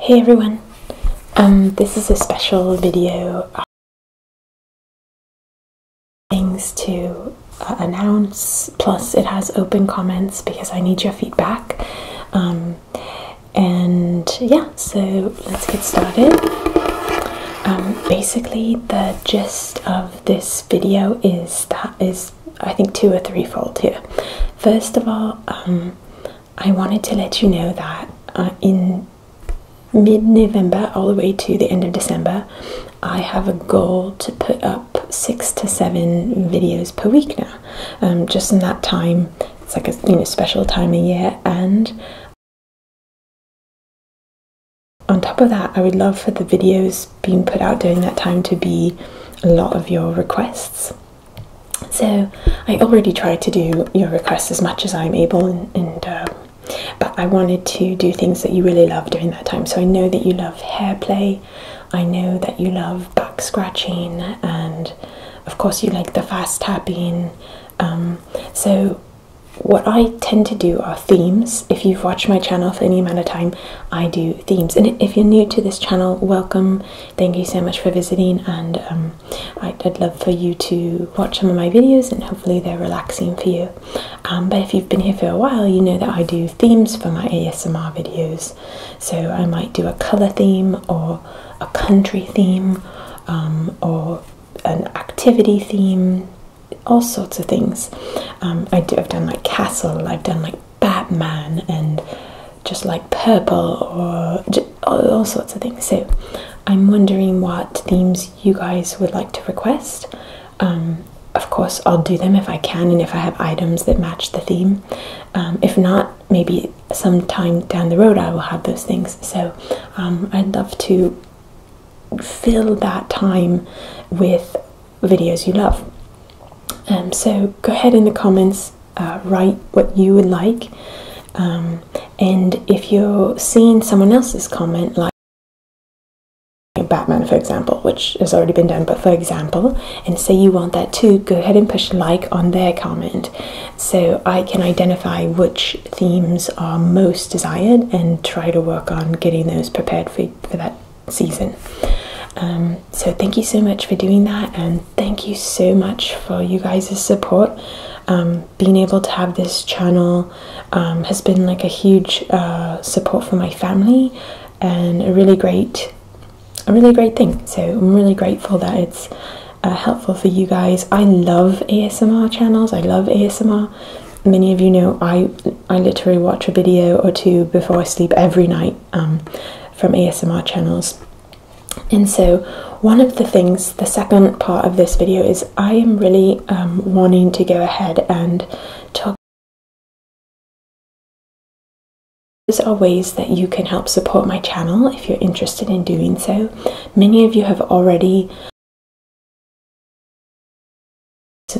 Hey everyone, um, this is a special video uh, things to uh, announce, plus it has open comments because I need your feedback. Um, and yeah, so let's get started um, basically the gist of this video is that is I think two or threefold here. First of all, um, I wanted to let you know that uh, in mid-November all the way to the end of December, I have a goal to put up six to seven videos per week now. Um, just in that time, it's like a you know special time of year, and on top of that, I would love for the videos being put out during that time to be a lot of your requests. So I already try to do your requests as much as I'm able, and, uh, but I wanted to do things that you really love during that time. So I know that you love hair play, I know that you love back scratching, and of course you like the fast tapping. Um, so what I tend to do are themes. If you've watched my channel for any amount of time, I do themes. And if you're new to this channel, welcome. Thank you so much for visiting. And um, I'd love for you to watch some of my videos and hopefully they're relaxing for you. Um, but if you've been here for a while, you know that I do themes for my ASMR videos. So I might do a color theme or a country theme um, or an activity theme all sorts of things. Um, I do. I've done like Castle. I've done like Batman and just like Purple or all, sorts of things. So I'm wondering what themes you guys would like to request. Um, of course, I'll do them if I can and if I have items that match the theme. Um, if not, maybe sometime down the road I will have those things. So I'd love to fill that time with videos you love. Um, so go ahead in the comments, uh, write what you would like, um, and if you're seeing someone else's comment, like Batman, for example, which has already been done, but for example, and say you want that too, go ahead and push like on their comment so I can identify which themes are most desired and try to work on getting those prepared for, that season. Um, so, thank you so much for doing that, and thank you so much for you guys' support. Um, being able to have this channel um, has been like a huge uh, support for my family and a really great a really great thing. So I'm really grateful that it's uh, helpful for you guys. I love ASMR channels. I love ASMR many of you know I I literally watch a video or two before I sleep every night um, from ASMR channels. And so, one of the things, the second part of this video is I am really um, wanting to go ahead and talk. These are ways that you can help support my channel if you're interested in doing so. Many of you have already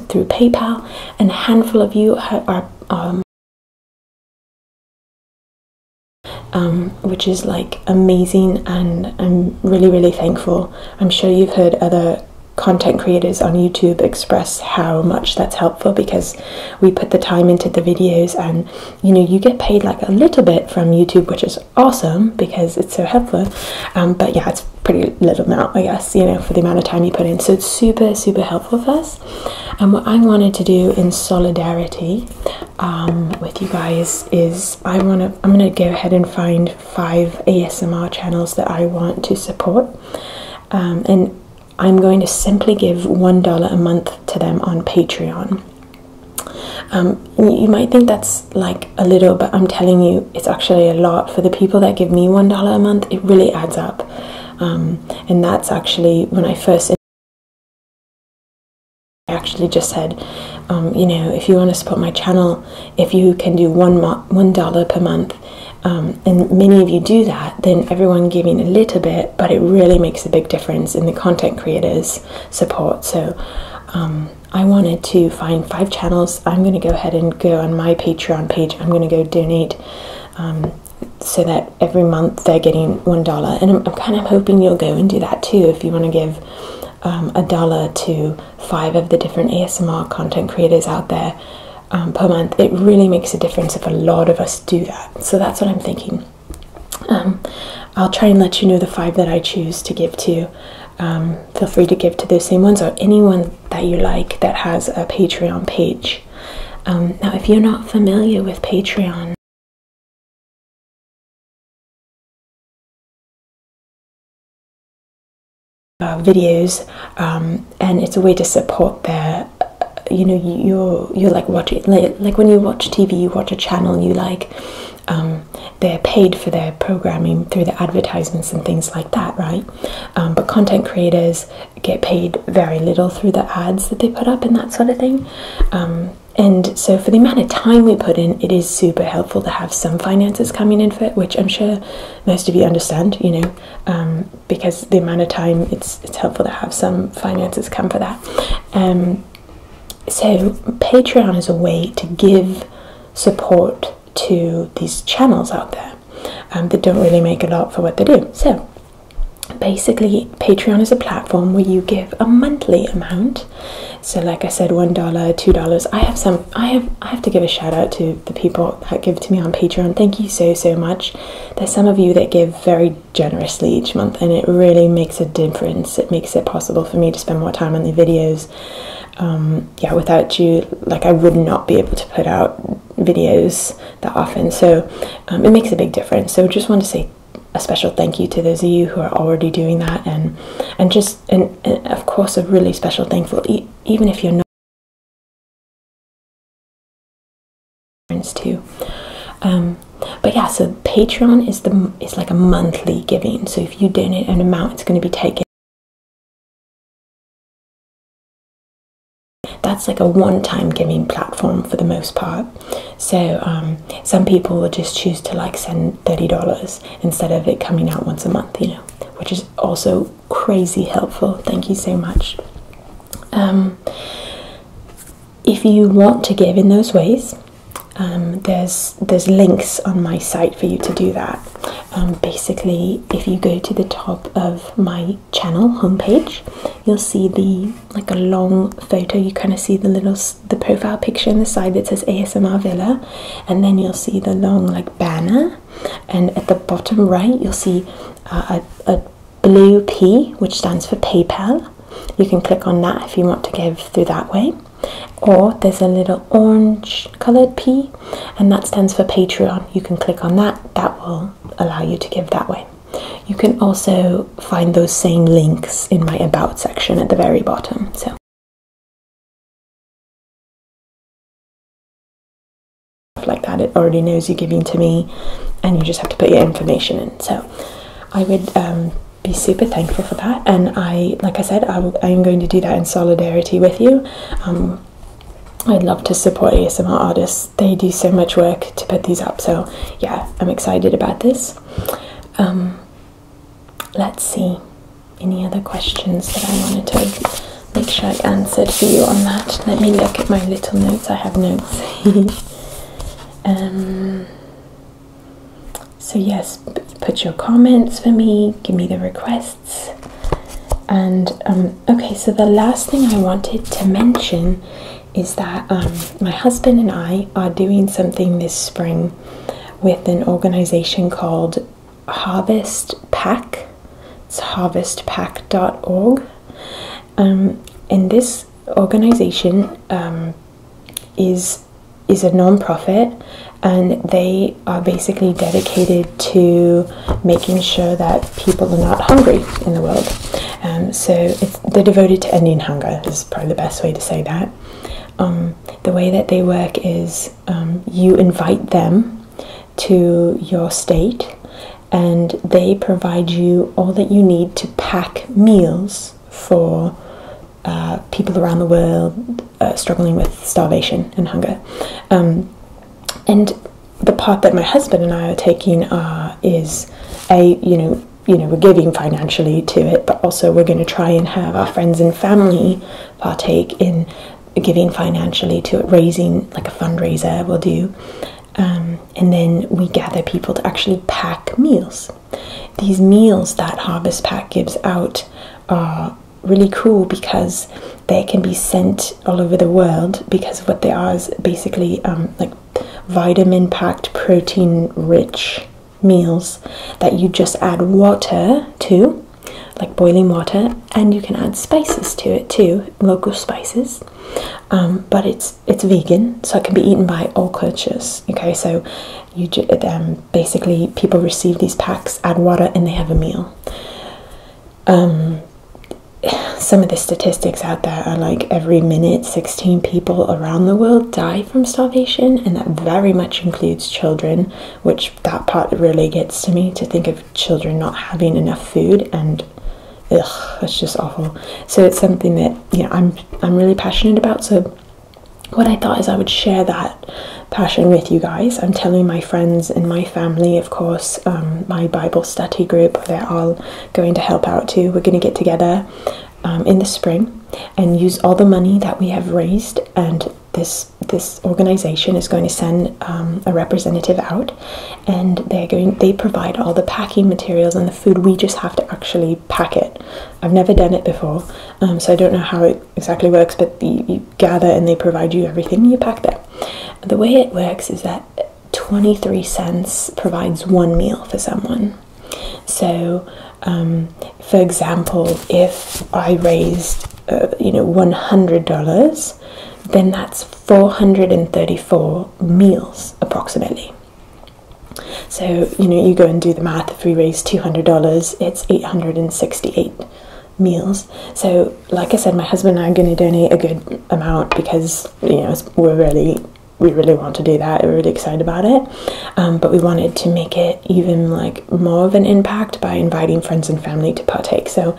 through PayPal, and a handful of you are, um, um, which is like amazing, and I'm really, really thankful. I'm sure you've heard other content creators on YouTube express how much that's helpful because we put the time into the videos, and you know, you get paid like a little bit from YouTube, which is awesome because it's so helpful. Um, but yeah, it's pretty little now I guess, you know, for the amount of time you put in. So it's super, super helpful for us. And what I wanted to do in solidarity um, with you guys is I want to, I'm going to go ahead and find five ASMR channels that I want to support. Um, and I'm going to simply give $1 a month to them on Patreon. you might think that's like a little, but I'm telling you, it's actually a lot. For the people that give me $1 a month, it really adds up. Um, and that's actually when I first. actually just said, um, you know, if you want to support my channel, if you can do one one dollar per month, um, and many of you do that, then everyone giving a little bit, but it really makes a big difference in the content creators' support. So, I wanted to find five channels. I'm going to go ahead and go on my Patreon page. I'm going to go donate um, so that every month they're getting one dollar. And I'm, kind of hoping you'll go and do that too if you want to give um, a dollar to five of the different ASMR content creators out there um, per month. It really makes a difference if a lot of us do that. So that's what I'm thinking. I'll try and let you know the five that I choose to give to um, feel free to give to those same ones or anyone that you like that has a Patreon page. Um, now, if you're not familiar with Patreon, uh, videos um, and it's a way to support their you know you're you're like watching like, like when you watch tv you watch a channel you like they're paid for their programming through the advertisements and things like that, right? Um, but content creators get paid very little through the ads that they put up and that sort of thing. Um, and so, for the amount of time we put in, it is super helpful to have some finances coming in for it, which I'm sure most of you understand, you know, um, because the amount of time it's it's helpful to have some finances come for that. Um, so Patreon is a way to give support to these channels out there and um, they don't really make a lot for what they do. So basically, Patreon is a platform where you give a monthly amount. So, like I said, one dollar, two dollars. I have some. I have. I have to give a shout out to the people that give to me on Patreon. Thank you so so much. There's some of you that give very generously each month, and it really makes a difference. It makes it possible for me to spend more time on the videos um, yeah, without you, like I would not be able to put out videos that often. So um, it makes a big difference. So just want to say a special thank you to those of you who are already doing that, and and just and, of course a really special thankful e even if you're not too. Um, but yeah, so Patreon is the is like a monthly giving. So if you donate an amount, it's going to be taken. That's like a one time giving platform for the most part. So um, some people will just choose to like send $30 instead of it coming out once a month, you know, which is also crazy helpful. Thank you so much. Um, if you want to give in those ways, um, there's there's links on my site for you to do that. Um, basically, if you go to the top of my channel homepage, you'll see the like a long photo. You kind of see the little the profile picture in the side that says ASMR Villa, and then you'll see the long like banner. And at the bottom right, you'll see uh, a, a blue P, which stands for PayPal. You can click on that if you want to give through that way or there's a little orange colored P, and that stands for Patreon. You can click on that, that will allow you to give that way. You can also find those same links in my About section at the very bottom. So. like that it already knows you're giving to me and you just have to put your information in so i would um, be super thankful for that. And I, like I said, I, am going to do that in solidarity with you. Um, I'd love to support ASMR artists. They do so much work to put these up. So yeah, I'm excited about this. Um, let's see any other questions that I wanted to make sure I answered for you on that. Let me look at my little notes. I have notes. um, so, yes, put your comments for me, give me the requests. And um, okay, so the last thing I wanted to mention is that um, my husband and I are doing something this spring with an organization called Harvest Pack. It's harvestpack.org. Um, and this organization is is a non-profit and they are basically dedicated to making sure that people are not hungry in the world um, so they're devoted to ending hunger is probably the best way to say that um, the way that they work is um, you invite them to your state and they provide you all that you need to pack meals for uh, people around the world uh, struggling with starvation and hunger. Um, and the part that my husband and I are taking uh, is a you know you know we're giving financially to it, but also we're going to try and have our friends and family partake in giving financially to it, raising like a fundraiser we'll do. Um, and then we gather people to actually pack meals. These meals that Harvest Pack gives out are really cool because they can be sent all over the world because what they are is basically um, like vitamin packed, protein rich meals that you just add water to, like boiling water, and you can add spices to it too, local spices. Um, but it's it's vegan, so it can be eaten by all cultures. Okay, so you um, basically people receive these packs, add water, and they have a meal. Um, some of the statistics out there are like every minute 16 people around the world die from starvation, and that very much includes children, which that part really gets to me to think of children not having enough food and ugh, that's just awful. So it's something that you know I'm I'm really passionate about. So what I thought is I would share that passion with you guys. I'm telling my friends and my family, of course, um, my Bible study group, they're all going to help out too. We're going to get together um, in the spring and use all the money that we have raised and this this organization is going to send um, a representative out and they're going they provide all the packing materials and the food we just have to actually pack it i've never done it before so i don't know how it exactly works, but you gather and they provide you everything you pack there. The way it works is that 23 cents provides one meal for someone. So, um, for example, if I raised, uh, you know, $100, then that's 434 meals approximately. So, you know, you go and do the math. If we raise $200, it's 868 meals. So, like I said, my husband and I are going to donate a good amount because you know we're really we really want to do that. We're really excited about it, um, but we wanted to make it even like more of an impact by inviting friends and family to partake. So,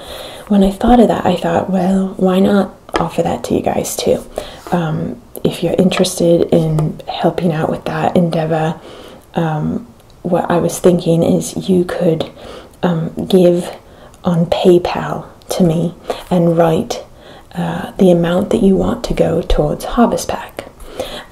when I thought of that, I thought, well, why not offer that to you guys too? Um, if you're interested in helping out with that endeavor, um, what I was thinking is you could um, give on PayPal to me and write uh, the amount that you want to go towards Harvest Pack.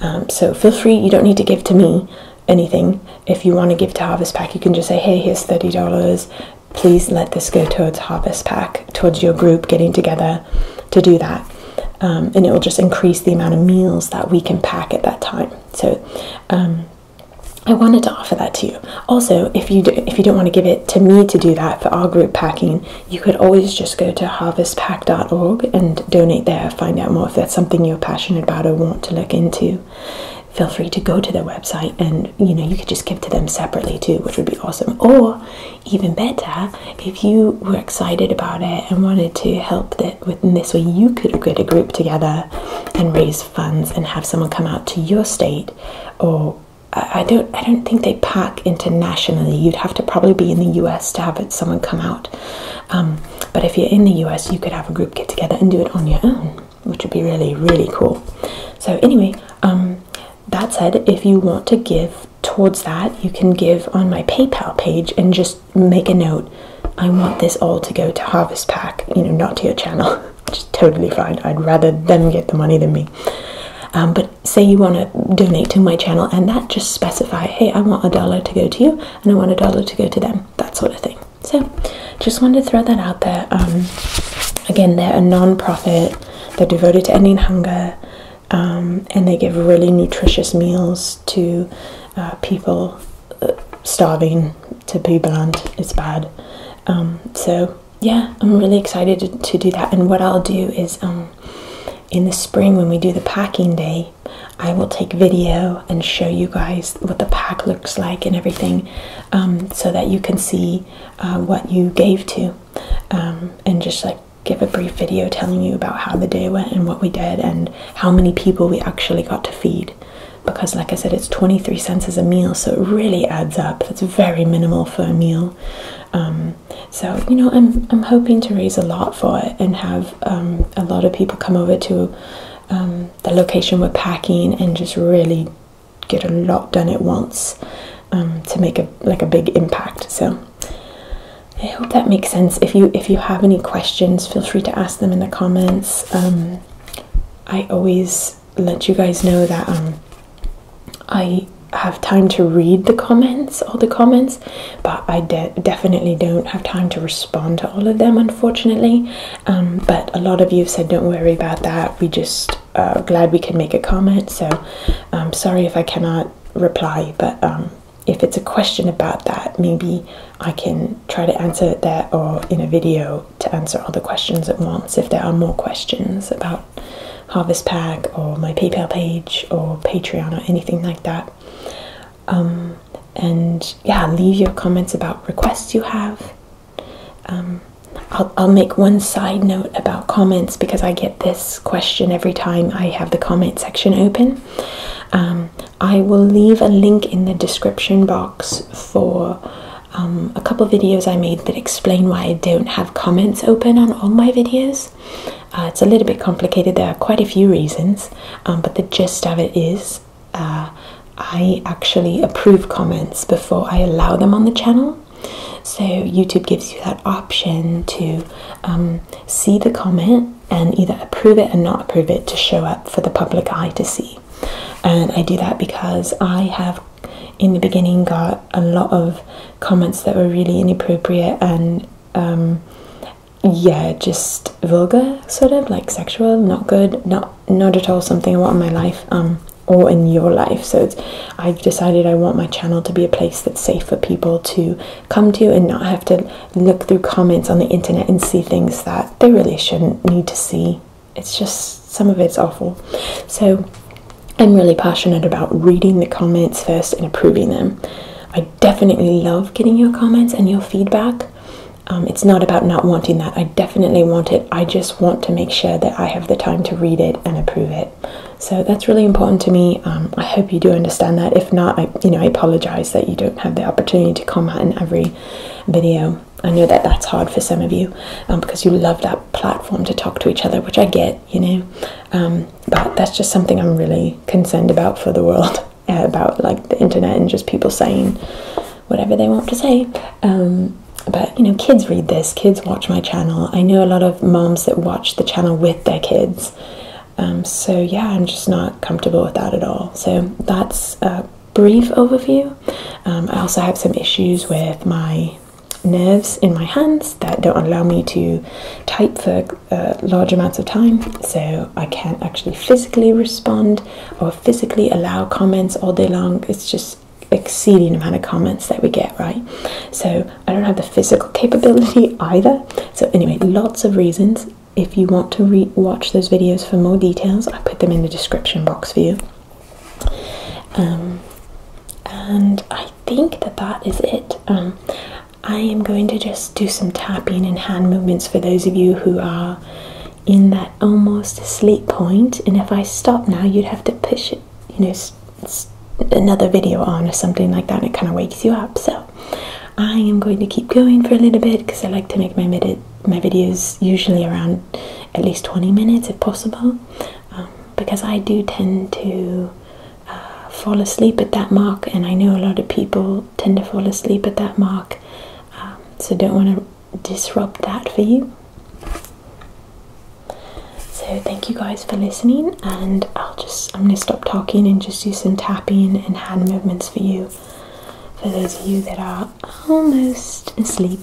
Um, so feel free, you don't need to give to me anything. If you want to give to Harvest Pack, you can just say, hey, here's $30. Please let this go towards Harvest Pack, towards your group getting together to do that. Um, and it will just increase the amount of meals that we can pack at that time. So, um, I wanted to offer that to you. Also, if you do, if you don't want to give it to me to do that for our group packing, you could always just go to harvestpack.org and donate there. Find out more if that's something you're passionate about or want to look into. Feel free to go to their website and you know you could just give to them separately too, which would be awesome. Or even better, if you were excited about it and wanted to help them within this way you could get a group together and raise funds and have someone come out to your state or I don't I don't think they pack internationally. You'd have to probably be in the US to have someone come out. Um, but if you're in the US, you could have a group get together and do it on your own, which would be really really cool. So anyway, um, that said, if you want to give towards that, you can give on my PayPal page and just make a note. I want this all to go to Harvest Pack, you know, not to your channel, which is totally fine. I'd rather them get the money than me. Um, but say you want to donate to my channel, and that just specify, hey, I want a dollar to go to you, and I want a dollar to go to them, that sort of thing. So, just wanted to throw that out there. Um, again, they're a non-profit. They're devoted to ending hunger, um, and they give really nutritious meals to uh, people uh, starving to Boobaland. It's bad. Um, so yeah, I'm really excited to, do that. And what I'll do is um, in the spring when we do the packing day, I will take video and show you guys what the pack looks like and everything, um, so that you can see uh, what you gave to, and just like give a brief video telling you about how the day went and what we did and how many people we actually got to feed because like i said it's 23 cents as a meal so it really adds up that's very minimal for a meal um, so you know i'm i'm hoping to raise a lot for it and have um, a lot of people come over to um, the location we're packing and just really get a lot done at once to make a like a big impact so I hope that makes sense. If you if you have any questions, feel free to ask them in the comments. Um, I always let you guys know that um, I have time to read the comments, all the comments, but I definitely don't have time to respond to all of them, unfortunately. Um, but a lot of you have said, don't worry about that. We just uh, glad we can make a comment. So I'm sorry if I cannot reply, but if it's a question about that, maybe I can try to answer it there or in a video to answer all the questions at once if there are more questions about Harvest Pack or my PayPal page or Patreon or anything like that. Um, and yeah, leave your comments about requests you have. Um, I'll, I'll make one side note about comments because I get this question every time I have the comment section open. Um, I will leave a link in the description box for um, a couple videos I made that explain why I don't have comments open on all my videos. Uh, it's a little bit complicated, there are quite a few reasons, um, but the gist of it is uh, I actually approve comments before I allow them on the channel. So, YouTube gives you that option to um, see the comment and either approve it and not approve it to show up for the public eye to see. And I do that because I have in the beginning got a lot of comments that were really inappropriate and um, yeah, just vulgar, sort of like sexual, not good, not not at all something I want in my life um, or in your life. So I've decided I want my channel to be a place that's safe for people to come to and not have to look through comments on the internet and see things that they really shouldn't need to see. It's just some of it's awful. So I'm really passionate about reading the comments first and approving them. I definitely love getting your comments and your feedback. Um, it's not about not wanting that. I definitely want it. I just want to make sure that I have the time to read it and approve it. So that's really important to me. Um, I hope you do understand that. If not, I, you know, I apologize that you don't have the opportunity to comment in every video. I know that that's hard for some of you um, because you love that platform to talk to each other, which I get, you know. Um, but that's just something I'm really concerned about for the world, about like the internet and just people saying whatever they want to say. Um, but you know, kids read this, kids watch my channel. I know a lot of moms that watch the channel with their kids. Um, so yeah, I'm just not comfortable with that at all. So that's a brief overview. Um, I also have some issues with my nerves in my hands that don't allow me to type for uh, large amounts of time, so I can't actually physically respond or physically allow comments all day long. It's just exceeding amount of comments that we get right so i don't have the physical capability either so anyway lots of reasons if you want to re watch those videos for more details, I put them in the description box for you. Um, and I think that that is it. Um, I am going to just do some tapping and hand movements for those of you who are in that almost sleep point. And if I stop now, you'd have to push it, you know, another video on or something like that. And it kind of wakes you up. So I am going to keep going for a little bit because I like to make my my videos usually around at least 20 minutes if possible, um, because I do tend to uh, fall asleep at that mark, and I know a lot of people tend to fall asleep at that mark. Um, so don't want to disrupt that for you. So thank you guys for listening, and I'll i am gonna stop talking and just do some tapping and hand movements for you. For those of you that are almost asleep.